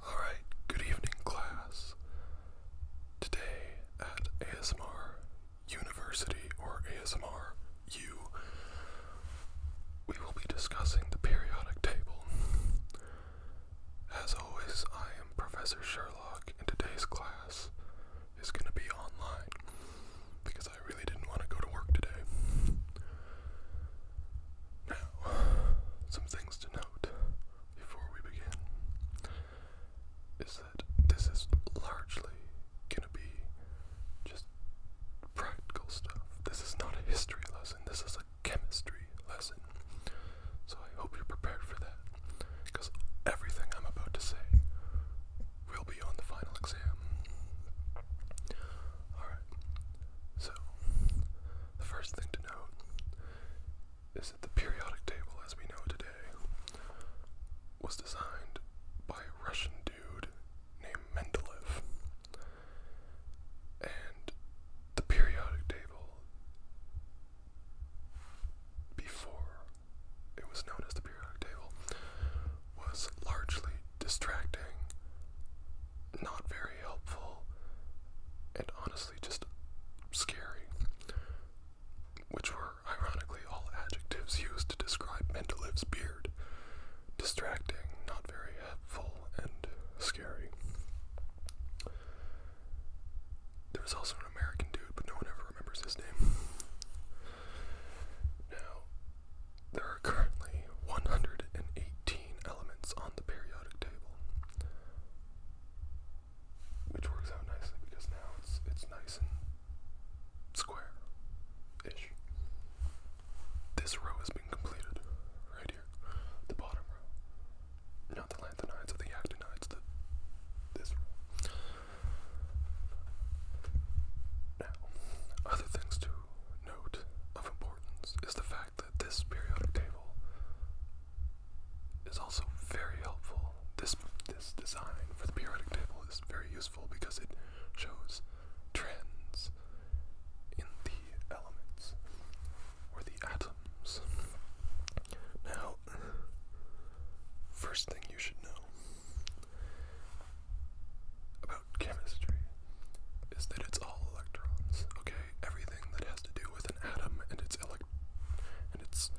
Alright, good evening, class. Today at ASMR University or ASMR U, we will be discussing the periodic table. As always, I am Professor Sherlock, and today's class is going to be online because I really didn't want to go to work today. Now, some things to note before we begin is that this is largely going to be just practical stuff. This is not a history lesson, this is a chemistry lesson. So I hope you're prepared for that because everything I'm about to say will be on the final exam. Alright, so the first thing to note is that the periodic table as we know today was designed by a Russian dude named Mendeleev. And the periodic table, before it was known as the periodic table, was largely distracting not very helpful, and honestly just scary, which were ironically all adjectives used to describe Mendelev's beard distracting, not very helpful, and scary. There was also an American dude, but no one ever remembers his name. Now, there are currently 118 elements on the periodic table. Which works out nicely because now it's it's nice and square ish. This row has been completed right here. The bottom row. Not the lanthanides or the actinides, this Now, other things to note of importance is the fact that this periodic table is also very helpful. This this design for the periodic table is very useful because it shows trends in the elements or the atoms. Now, first thing you should know about chemistry is that it's all electrons, okay? everything that has to do with an atom and its and its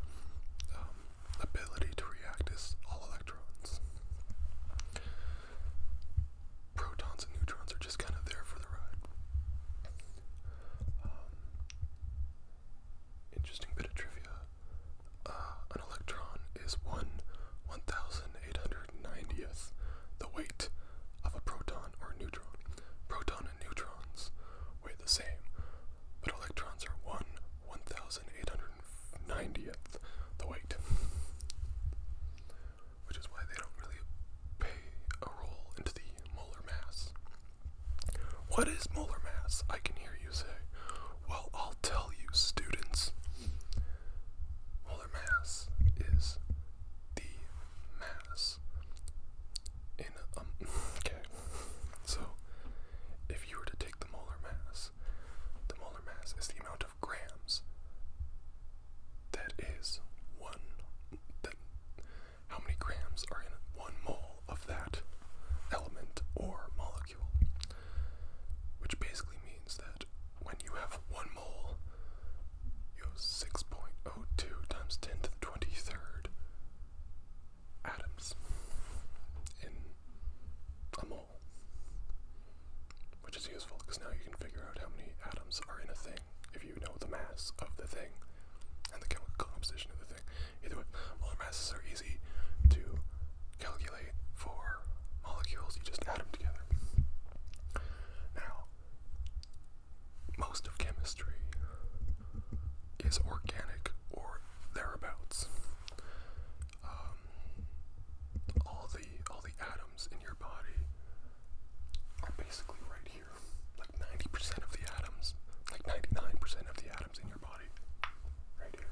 um, ability to react is all electrons. Protons and neutrons are just kind of there for the ride. Um, interesting bit of trivia: uh, an electron is one one thousand eight hundred ninetieth the weight of a proton or neutron. Proton and neutrons weigh the same, but electrons are one one thousand eight hundred ninetieth the weight, which is why they don't really pay a role into the molar mass. What is molar mass? I can hear you say. Well, I'll tell you, students. Molar mass is the mass. In um, okay, so if you were to take the molar mass, the molar mass is the amount of grams that is one. That how many grams are in one mole of that element or molecule? Which basically means that when you have one mole equals 6.02 times 10 to the 23rd atoms in a mole. Which is useful because now you can figure out how many atoms are in a thing if you know the mass of the thing and the chemical composition of the thing. Either way, molar masses are easy to calculate for molecules, you just add them together. Now, most of chemistry is organic or thereabouts. Um, all the all the atoms in your body are basically right here. Like ninety percent of the atoms, like ninety-nine percent of the atoms in your body, right here.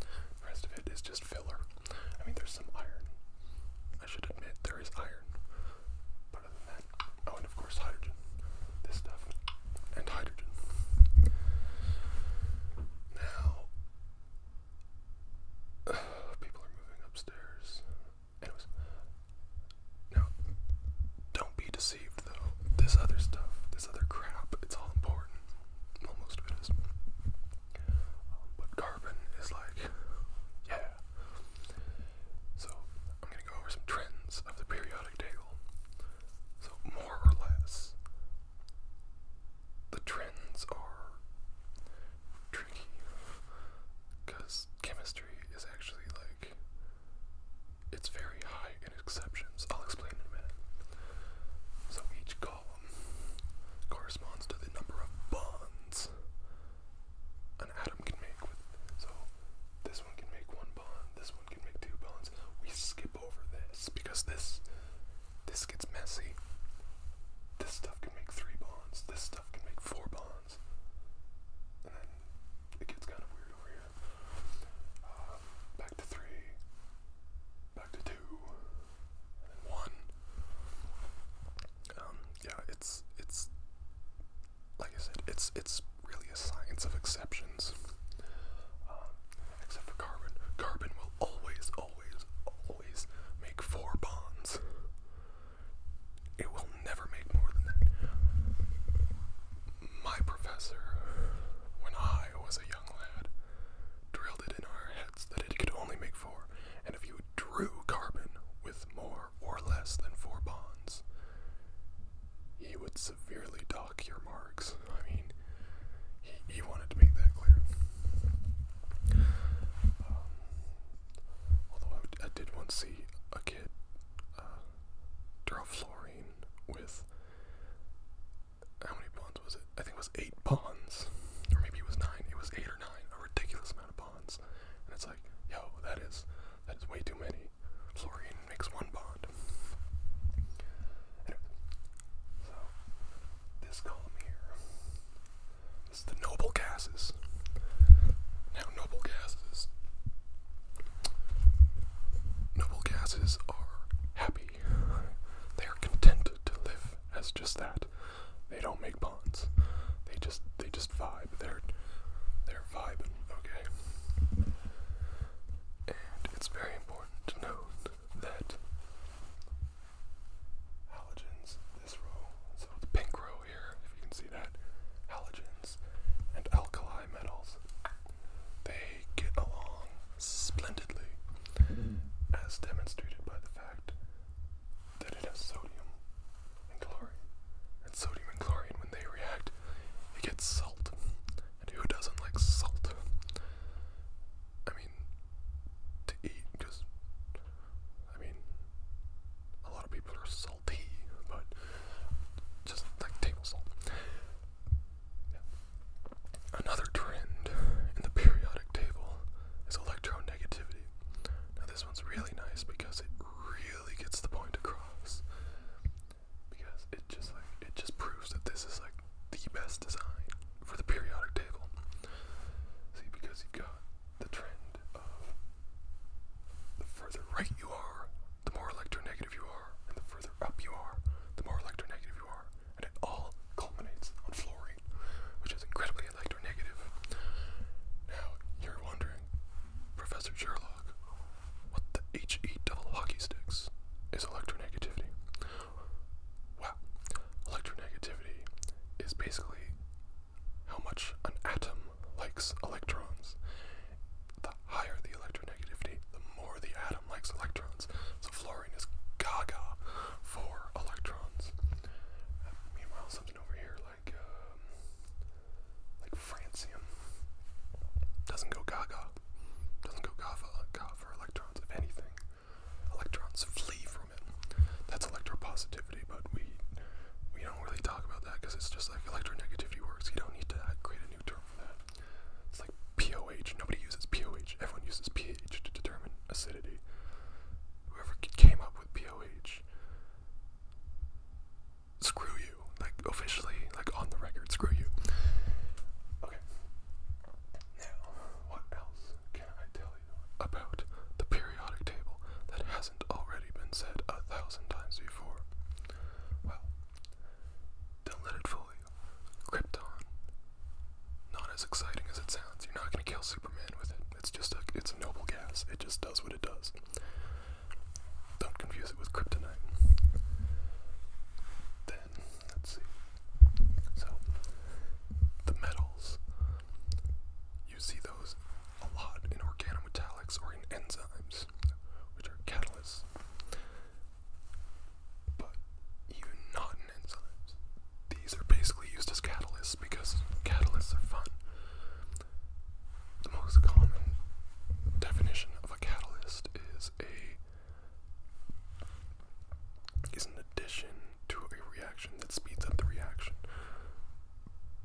The rest of it is just filler. I mean, there's some iron. I should admit there is iron, oh, and of course hydrogen. This stuff and hydrogen. Now, people are moving upstairs. Anyways, now don't be deceived though. This other stuff, this other crap, it's all important. Well, of it is. Um, carbon is like, so I'm gonna go over some trends of the periodic table. So more or less, the trends are tricky because chemistry is actually like it's very high in exceptions. I'll explain in a minute. So each column corresponds to the number of bonds an atom can make so this one can make one bond, this one can make two bonds. We skip over this because this this gets messy. This stuff can make three bonds, this stuff can make four bonds. And then it gets kind of weird over here. Um, back to three, back to two, and then one. Um, yeah, it's it's like I said, it's it's really a science of exceptions. Um, except for carbon, carbon will always, always, always make four bonds. It will never make more than that. My professor, when I was a young lad, drilled it in our heads that it could only make four, and if you drew carbon with more or less than four bonds, he would severely dock your marks. I mean, he, he wanted to make that clear. Um, although I, did once see a kid uh, draw fluorine with how many bonds was it? I think it was eight bonds, or maybe it was nine. It was eight or nine, a ridiculous amount of bonds. And it's like, yo, that is that is way too many. Fluorine makes one bond. so this column here this is the noble gases. Now noble gases Noble gases are happy. They are content to live as just that. They don't make bonds. They just they just vibe. They're they're vibing, okay? And it's very important to note that halogens, this row, so the pink row here, if you can see that, halogens and alkali metals, they get along splendidly, as demonstrated by the fact that it has sodium and chlorine. And sodium and chlorine, when they react, it gets salt. And who doesn't like salt? I mean, to eat, just. I mean, a lot of people are salty, but just like table salt. Another trend in the periodic table is electronegativity. Now, this one's really nice because it really gets the point across. Because it just like it just proves that this is like the best design for the periodic table. See, because you've got the trend of the further right you are, the more electronegative you are, and the further up you are, the more electronegative you are, and it all culminates on fluorine, which is incredibly they Now, you're wondering, Professor Sherlock, what the HE hockey sticks is electronegativity? Well, electronegativity is basically how much an atom likes electrons. The higher the electronegativity, the more the atom likes electrons. So fluorine is gaga for electrons. meanwhile, something over here like um, like francium. Doesn't go gaga. Doesn't go gaga for electrons. If anything, electrons flee from it. That's electropositivity, but we we don't really talk about that because it's just like electronegativity works. You don't need to create a new term for that. It's like pOH. Nobody uses pOH. Everyone uses pH to determine acidity. Whoever came up with pOH Screw you. Like, officially, like, on the record, screw you. Okay. Now, what else can I tell you about the periodic table that hasn't already been said a thousand times before? Well, don't let it fool you. Krypton. Not as exciting as it sounds. You're not going to kill Superman with it. It's just a it's a noble gas. It just does what it does. Don't confuse it with kryptonite. Then let's see. So the metals you see those a lot in organometallics or in enzymes, which are catalysts. But even not in enzymes. These are basically used as catalysts because catalysts are fun. The most common definition of a catalyst is a is an addition to a reaction that speeds up the reaction.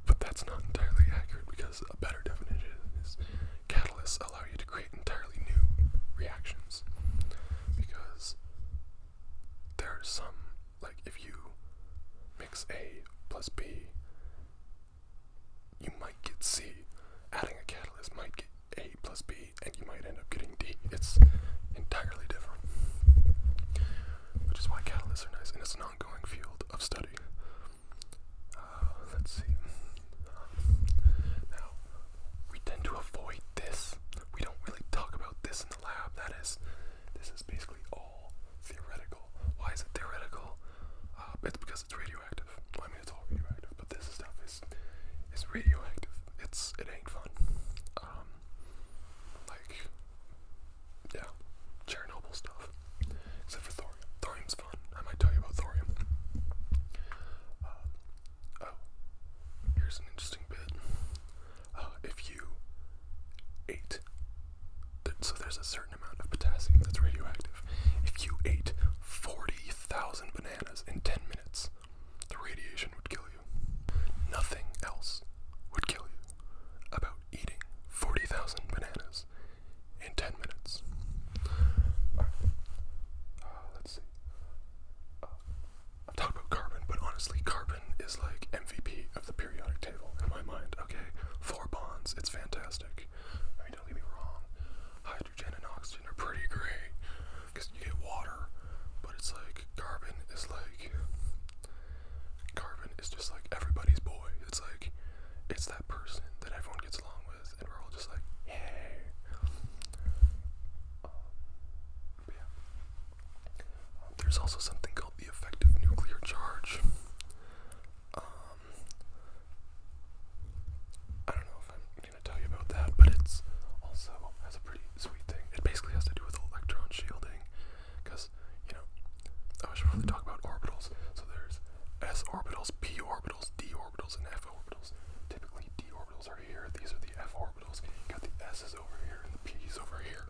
But that's not entirely accurate because a better definition is catalysts allow you to create entirely new reactions because there are some like if you mix A plus B, you might get C. Adding a catalyst might get A plus B, and you might end up getting D. It's entirely different, which is why catalysts are nice, and it's an ongoing field of study. Uh, let's see. Now, we tend to avoid this. We don't really talk about this in the lab. That is, this is basically all all theoretical. Why is it theoretical? Uh, it's because it's radioactive. Well, I mean, it's all radioactive, but this stuff is is radioactive. It's it ain't fun. Um, like yeah, Chernobyl stuff. Except for thorium. Thorium's fun. I might tell you about thorium. Uh, oh, here's an interesting bit. Uh, if you ate, so there's a certain amount of potassium that's radioactive. If you ate 40,000 bananas in 10 minutes, the radiation would kill you. Nothing else would kill you about eating 40,000 bananas in 10 minutes. Uh, let's see. Uh, I've talked about carbon, but honestly, carbon is like MVP of the periodic table in my mind. Okay, four bonds. It's fantastic. I mean, don't get me wrong. Hydrogen and oxygen are pretty great because you get water, but it's like carbon is like carbon is just like everybody's boy. It's like it's that person that everyone gets along with, and we're all just like, hey. Um, yeah there's also something called the effective nuclear charge. Um, I don't know if I'm gonna tell you about that, but it's also has a pretty sweet thing. It basically has to do with electron shielding, because you know I should probably talk about orbitals. So there's s orbitals, p orbitals, d orbitals, and f orbitals. Typically, d orbitals are here. These are the f orbitals. got the s over here the P over here.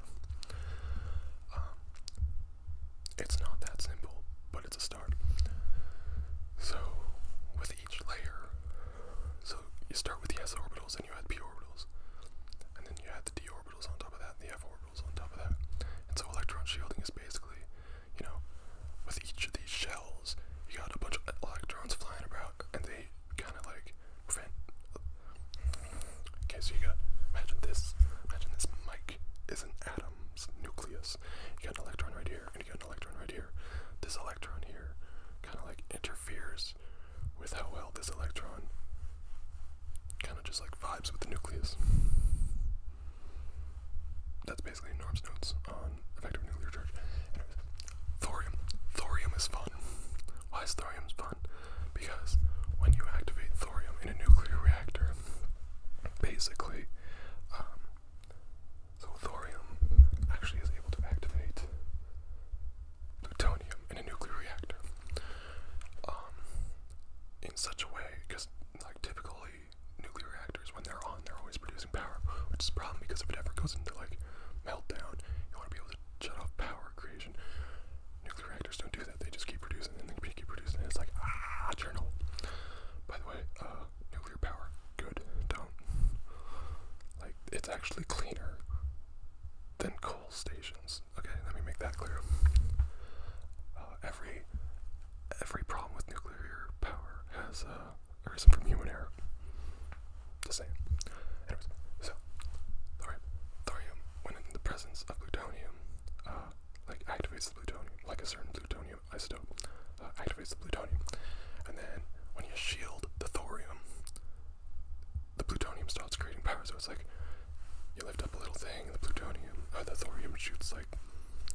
Um, it's not that simple, but it's a start. So, with each layer, so you start with the s orbitals and you add p orbitals, and then you add the d orbitals on top of that and the f orbitals on top of that. And so, electron shielding is basically, you know, with each of these shells, you got a bunch of electrons flying around, and they kind of like Okay, so you got imagine this. Imagine this mic is an atom's nucleus. You got an electron right here, and you got an electron right here. This electron here kind of like interferes with how well this electron kind of just like vibes with the nucleus. That's basically Norm's notes on effective nuclear charge. thorium. Thorium is fun. Why is thorium fun? Because when you activate thorium in a nuclear reactor, basically, um, so thorium actually is able to activate plutonium in a nuclear reactor um, in such a way, because like typically nuclear reactors, when they're on, they're always producing power, which is a problem because if it ever goes into like meltdown, you want to be able to shut power creation. Nuclear reactors don't do that. They just keep producing and they keep producing. it's like, ah, Chernobyl. By the way, uh, nuclear power, good. Don't. Like, it's actually cleaner than coal stations. Okay, let me make that clear. Uh, every every problem with nuclear power has uh, from human error. Just saying. Anyways, so thorium, thorium when in the presence of plutonium uh, like activates the plutonium, like a certain plutonium isotope uh, activates the plutonium. And then when you shield the thorium, the plutonium starts creating power. So it's like you lift up a little thing, the plutonium, uh, the thorium shoots like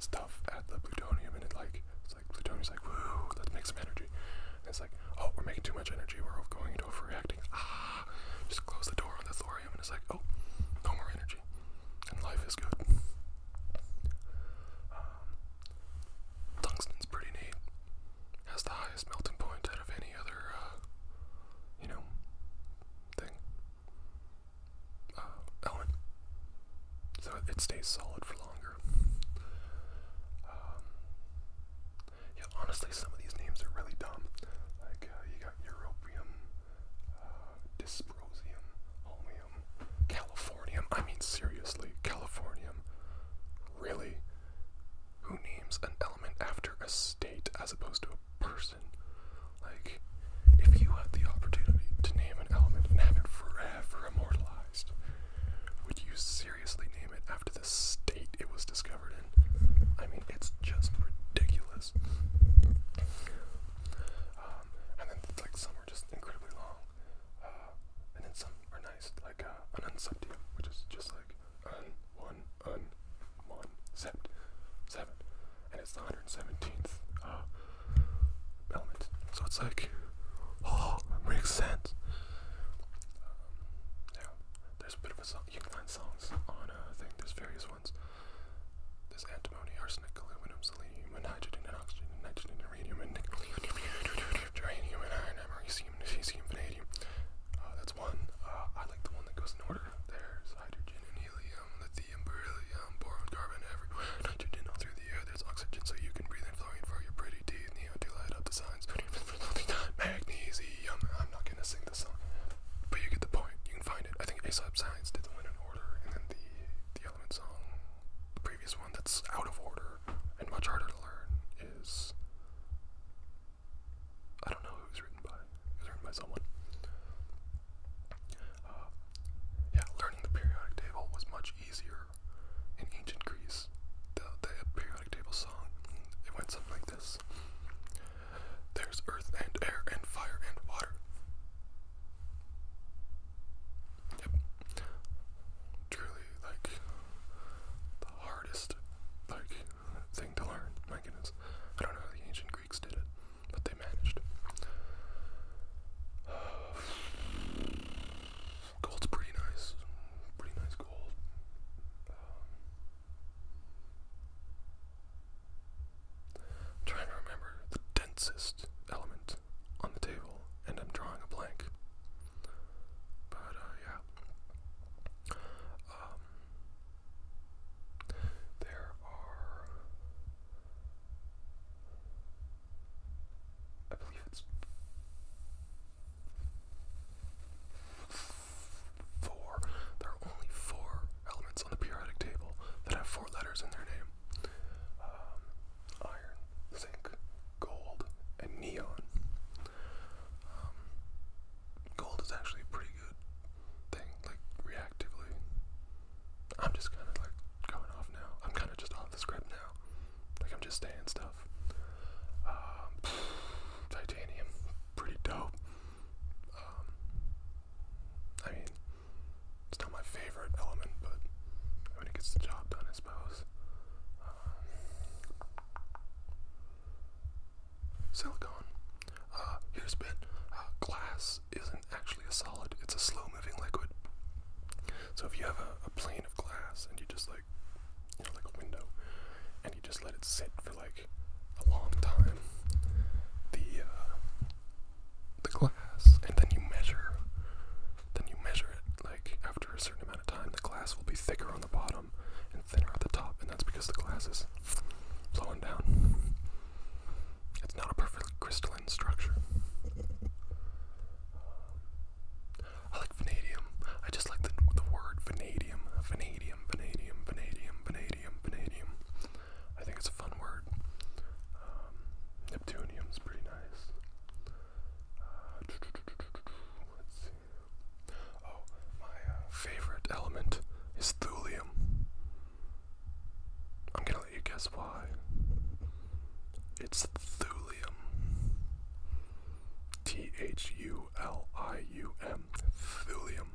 stuff at the plutonium, and it's like it's like plutonium's like woo, let's make some energy. And it's like oh, we're making too much energy. We're going into a free Ah, just close the door on the thorium, and it's like, oh, no more energy, and life is good. Um, tungsten's pretty neat. Has the highest melting point out of any other, uh, you know, thing. Uh, So it stays solid for longer. Um, yeah, honestly, some of these names are really dumb. Like, uh, you got Europium, uh, Dysprosium, Holmium, Californium. I mean, seriously, Californium. Really? Who names an element after a state as opposed to a person? Like, if you had the opportunity to name an element and have it forever immortalized, would you seriously name it after the state it was discovered in. I mean, it's just ridiculous. Um, and then like some are just incredibly long, uh, and then some are nice, like uh, an unseptia, which is just like un one un one sept seven, and it's the hundred seventeenth uh, element. So it's like, oh, makes sense. Um, yeah, there's a bit of a song. You can find songs on a uh, thing. There's various ones. There's antimony, arsenic, aluminum, selenium, and hydrogen, and oxygen, and nitrogen, and uranium, and nickel, uranium, and iron, and magnesium, and cesium, vanadium. Uh, that's one. Uh, I like the one that goes in order. There's hydrogen and helium, lithium, beryllium, boron, carbon, everywhere. Nitrogen all through the air. There's oxygen so you can breathe and flow in for your pretty teeth. Neo to light up the signs. Magnesium. I'm not gonna sing the song, but you get the point. You can find it. I think Aesop's Science did the Win in Order, and then the the Element song, the previous one that's out of order and much harder to learn is I don't know who was written by. It written by someone. Uh, yeah, learning the periodic table was much easier in ancient Greece. The, the periodic table song it went something like this. There's earth and air and fire and water. Yep. Truly, like, the hardest, like, thing to learn. My goodness. I don't know how the ancient Greeks did it, but they managed. gold's pretty nice. Pretty nice gold. Um, trying to remember the densest element on the table, and I'm drawing a blank. But, uh, yeah. Um, there are. I believe it's four. There are only four elements on the periodic table that have four letters in their name um, iron, zinc, gold, and neon. Um, gold is actually a pretty good thing, like reactively. I'm just kind of like going off now. I'm kind of just off the script now. Like I'm just saying stuff. Um, titanium, pretty dope. Um, I mean, it's not my favorite element, but when it gets the job done, I suppose. Um, silicone. Uh, here's a bit. Uh, glass isn't actually a solid, it's a slow moving liquid. So if you have a plane of glass and you just like like a window, and you just let it sit for like a long time. The uh, the glass, and then you measure, then you measure it. Like after a certain amount of time, the glass will be thicker on the bottom and thinner at the top, and that's because the glass is flowing down. It's not a perfectly crystalline structure. I like vanadium. I just like the, the word Vanadium. Vanadium, vanadium, vanadium, vanadium, I think it's a fun word. Um, Neptunium's pretty nice. Uh, oh, my uh, favorite element is thulium. I'm gonna let you guess why. It's thulium. T H U L I U M. Thulium.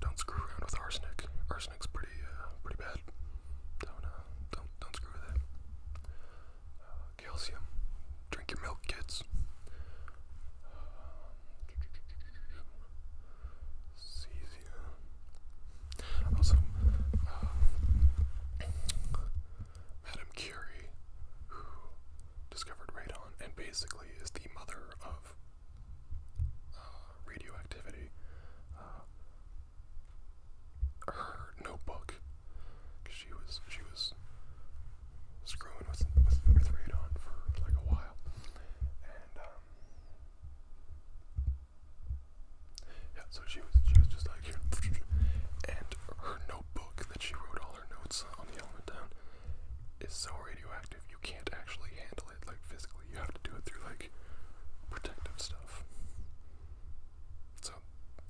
don't screw around with arsenic. Arsenic's pretty, uh, pretty bad. Don't, uh, don't, don't screw with it. Uh, calcium. Drink your milk, kids. Um, also, uh, um, Madame Curie, who discovered radon and basically is the mother of uh, radioactivity, uh, her notebook, because she was she was screwing with, with radon for like a while, um, yeah, so she was she was just like and her notebook that she wrote all her notes on the element down is so radioactive you can't actually handle it like physically. You have to do it through like protective stuff. So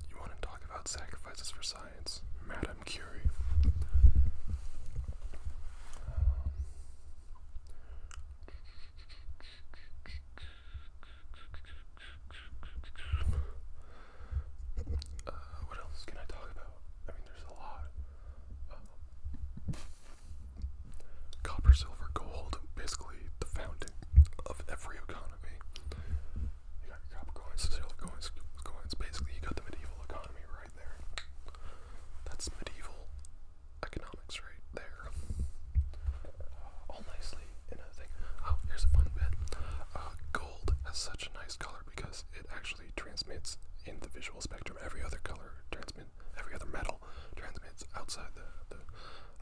you want to talk about sacrifices for science, Madame Curie. Uh, what else can I talk about? I mean, there's a lot. Uh, copper, silver, gold, basically the founding of every economy. You got your copper coins, silver coins, coins. Basically, you got the medieval economy right there. That's medieval economics right there. All nicely in a thing. Oh, here's a fun bit. Uh, gold has such a nice color because it actually transmits in the visual spectrum. Every other color transmit, every other metal transmits outside the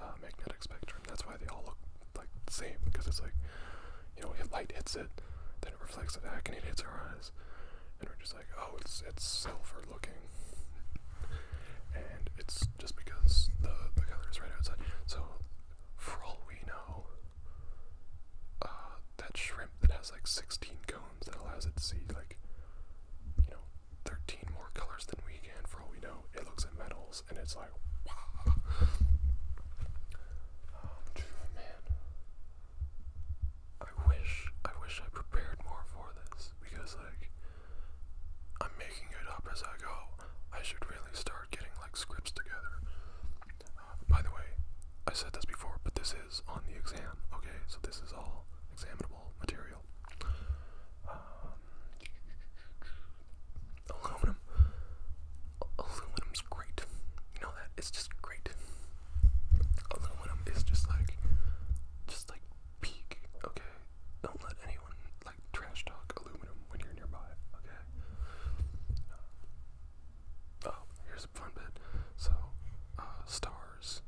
uh, magnetic spectrum. That's why they all look like the same because it's like, you know, if light hits it, then it reflects it back and it hits our eyes, and we're just like, oh, it's it's silver looking and it's just because the the color is right outside. So for all we know, uh, that shrimp that has like 16 cones that allows it to see like you know 13 more colors than we can. For all we know, it looks at metals and it's like wow. Um, man. I wish I wish I prepared more for this because like I'm making it up as I go. I should really start getting like scripts together. Uh, by the way, I said this before, but this is on the exam, okay? So this is all examinable material. Um, aluminum. Aluminum's great. You know that? It's just great. Aluminum is just like, just like peak, okay? Don't let anyone trash talk aluminum when you're nearby, okay? Uh, oh, here's a fun bit. So, uh, stars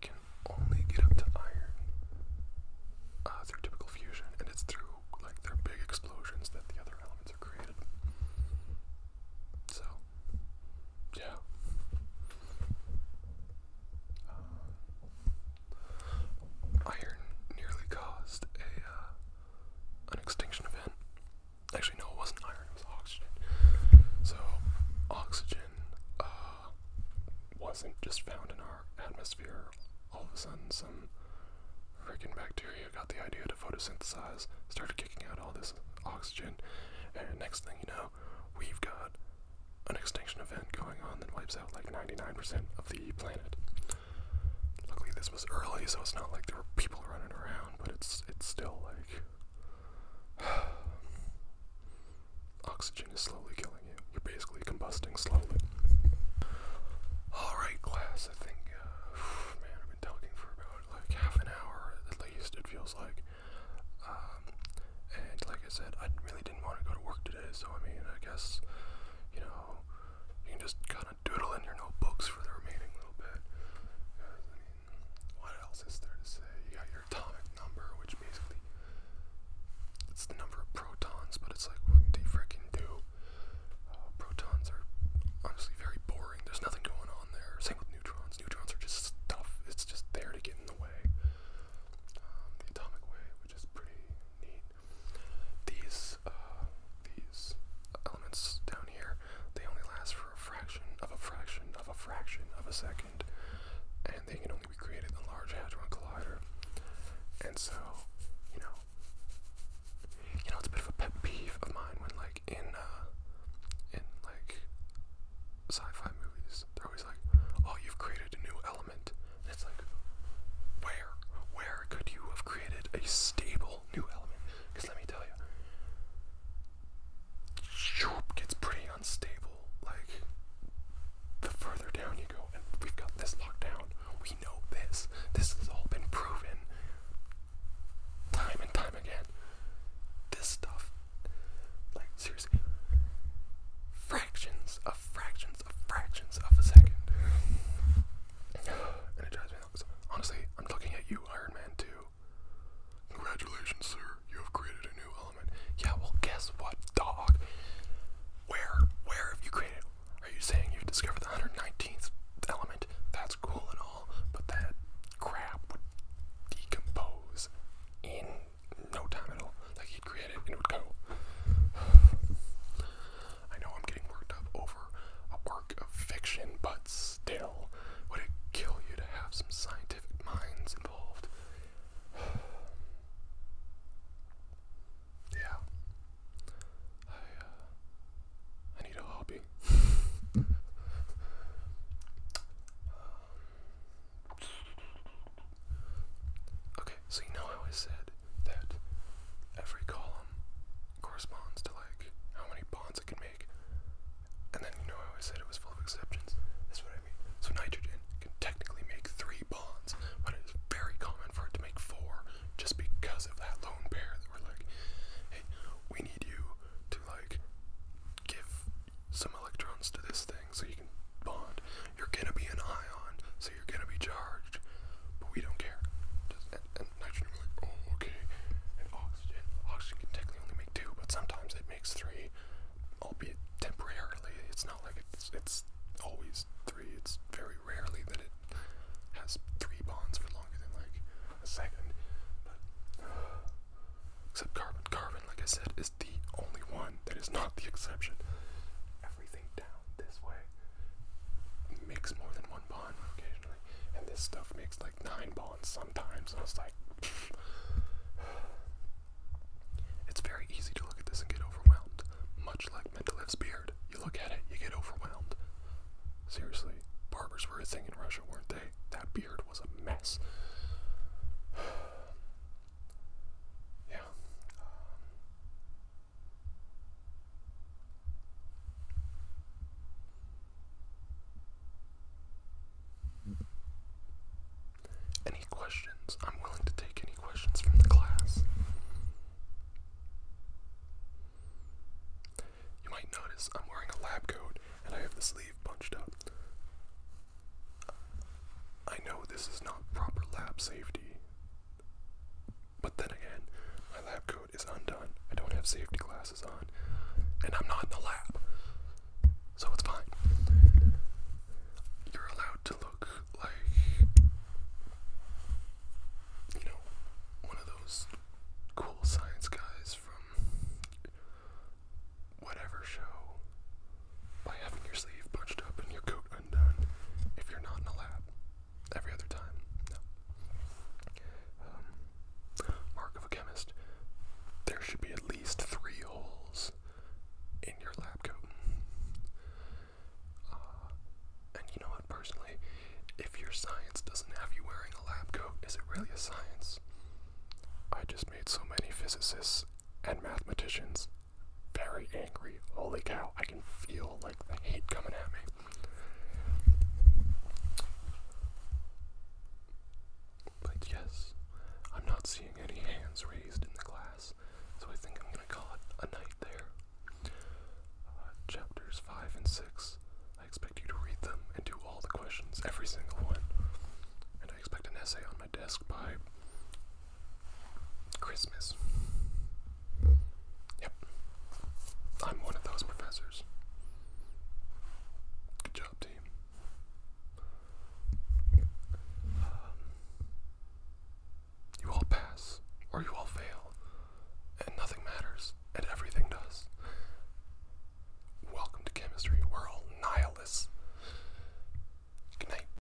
can only get up to iron uh, through typical fusion, and it's through like their big explosions that the other elements are created. So, yeah. Uh, iron nearly caused a uh, an extinction event. Actually, no, it wasn't iron; it was oxygen. So, oxygen uh, wasn't just found in our atmosphere. All of a sudden, some freaking bacteria got the idea to photosynthesize, started kicking out all this oxygen, and next thing you know, we've got an extinction event going on that wipes out like 99% of the planet. Luckily, this was early, so it's not like there were people running around, but it's it's still like oxygen is slowly killing you. You're basically combusting slowly. All right, class. I think, uh, man, I've been talking for about like half an hour at least. It feels like, um, and like I said, I really didn't want to go to work so I mean, I guess, you know, you can just kind of doodle in your notebooks for the remaining little bit. what else is there to say? You got your atomic number, which basically it's the number of protons, but it's like, what do you freaking do? Uh, protons are honestly very boring. There's nothing going on there. Same with neutrons. Neutrons are just stuff. It's just there to get in the way. Um, the atomic way, which is pretty neat. These uh, these elements down here, they only last for a fraction of a fraction of a fraction of a second, and they can only be created in the Large Hadron Collider. And so, you know, you know, it's a bit of a pet peeve of mine when, like, in uh, in like sci-fi movies, they're always like, "Oh, you've created a new element." It's like, where, where could you have created a stable new element? Because let me tell you, Shoop gets pretty unstable. Like, the further down you go, and we've got this locked down. We know this. This has all been proven time and time again. This stuff, like seriously, fractions of fractions Honestly, I'm looking at you, Iron Man 2. Congratulations, sir. You have created a new element. Yeah, well, guess what, dog? Where? Where have you created? Are you saying you've discovered the 119th element? That's cool and all, but that crap would decompose in no time at all. Like he'd create and it would go. I know I'm getting worked up over a work of fiction, but still, would it kill you to have some scientific minds involved? yeah. I, uh, I need a hobby. Okay, so you know how I said that every column corresponds to like how many bonds it can make. And then you know how I said it was full of exceptions. That's what I mean. So nitrogen can technically make three bonds, but it is very common for it to make four just because of that lone pair that we're like, hey, we need you to like give some electrons to this thing so you can bond. You're gonna be an ion, so you're gonna be charged. But we don't care. Just, like, oh, okay. oxygen, oxygen can technically only make two, but sometimes it makes three, albeit temporarily. It's not like it's, it's always three. It's very rarely that it has three bonds for longer than like a second. But, except carbon. Carbon, like I said, is the only one that is not the exception. Everything down this way makes more than one bond occasionally, and this stuff makes like nine bonds sometimes. And it's like, it's very easy to look at this and get overwhelmed, much like Mendelev's beard. You look at it, you get overwhelmed. Seriously, barbers were a thing in Russia, weren't they? That beard was a mess. Yeah, um, any questions? I'm willing to take any questions from the class. You might notice I'm wearing a lab coat and I have the sleeve bunched up. I know this is not proper lab safety, but then again, my lab coat is undone. I don't have safety glasses on, and I'm not in the lab, so it's fine. You're allowed to look like, you know, one of those cool science guys from whatever show by having your sleeve bunched up and your coat undone if you're not in a lab. Every other time, um, mark of a chemist. There should be at least three holes in your lab coat. Uh, and you know what, personally, if your science doesn't have you wearing a lab coat, is it really a science? I just made so many physicists and mathematicians very angry. Holy cow, I can feel like the hate coming at me. But yes, I'm not seeing any hands raised in the class, so I think I'm going to call it a night there. Uh, chapters 5 and 6, I expect you to read them and do all the questions, every single one. And I expect an essay on my desk by Christmas. Yep. I'm one of those professors. Good job, team. Um, you all pass, or you all fail, and nothing matters, and everything does. Welcome to chemistry. We're all nihilists. Good night.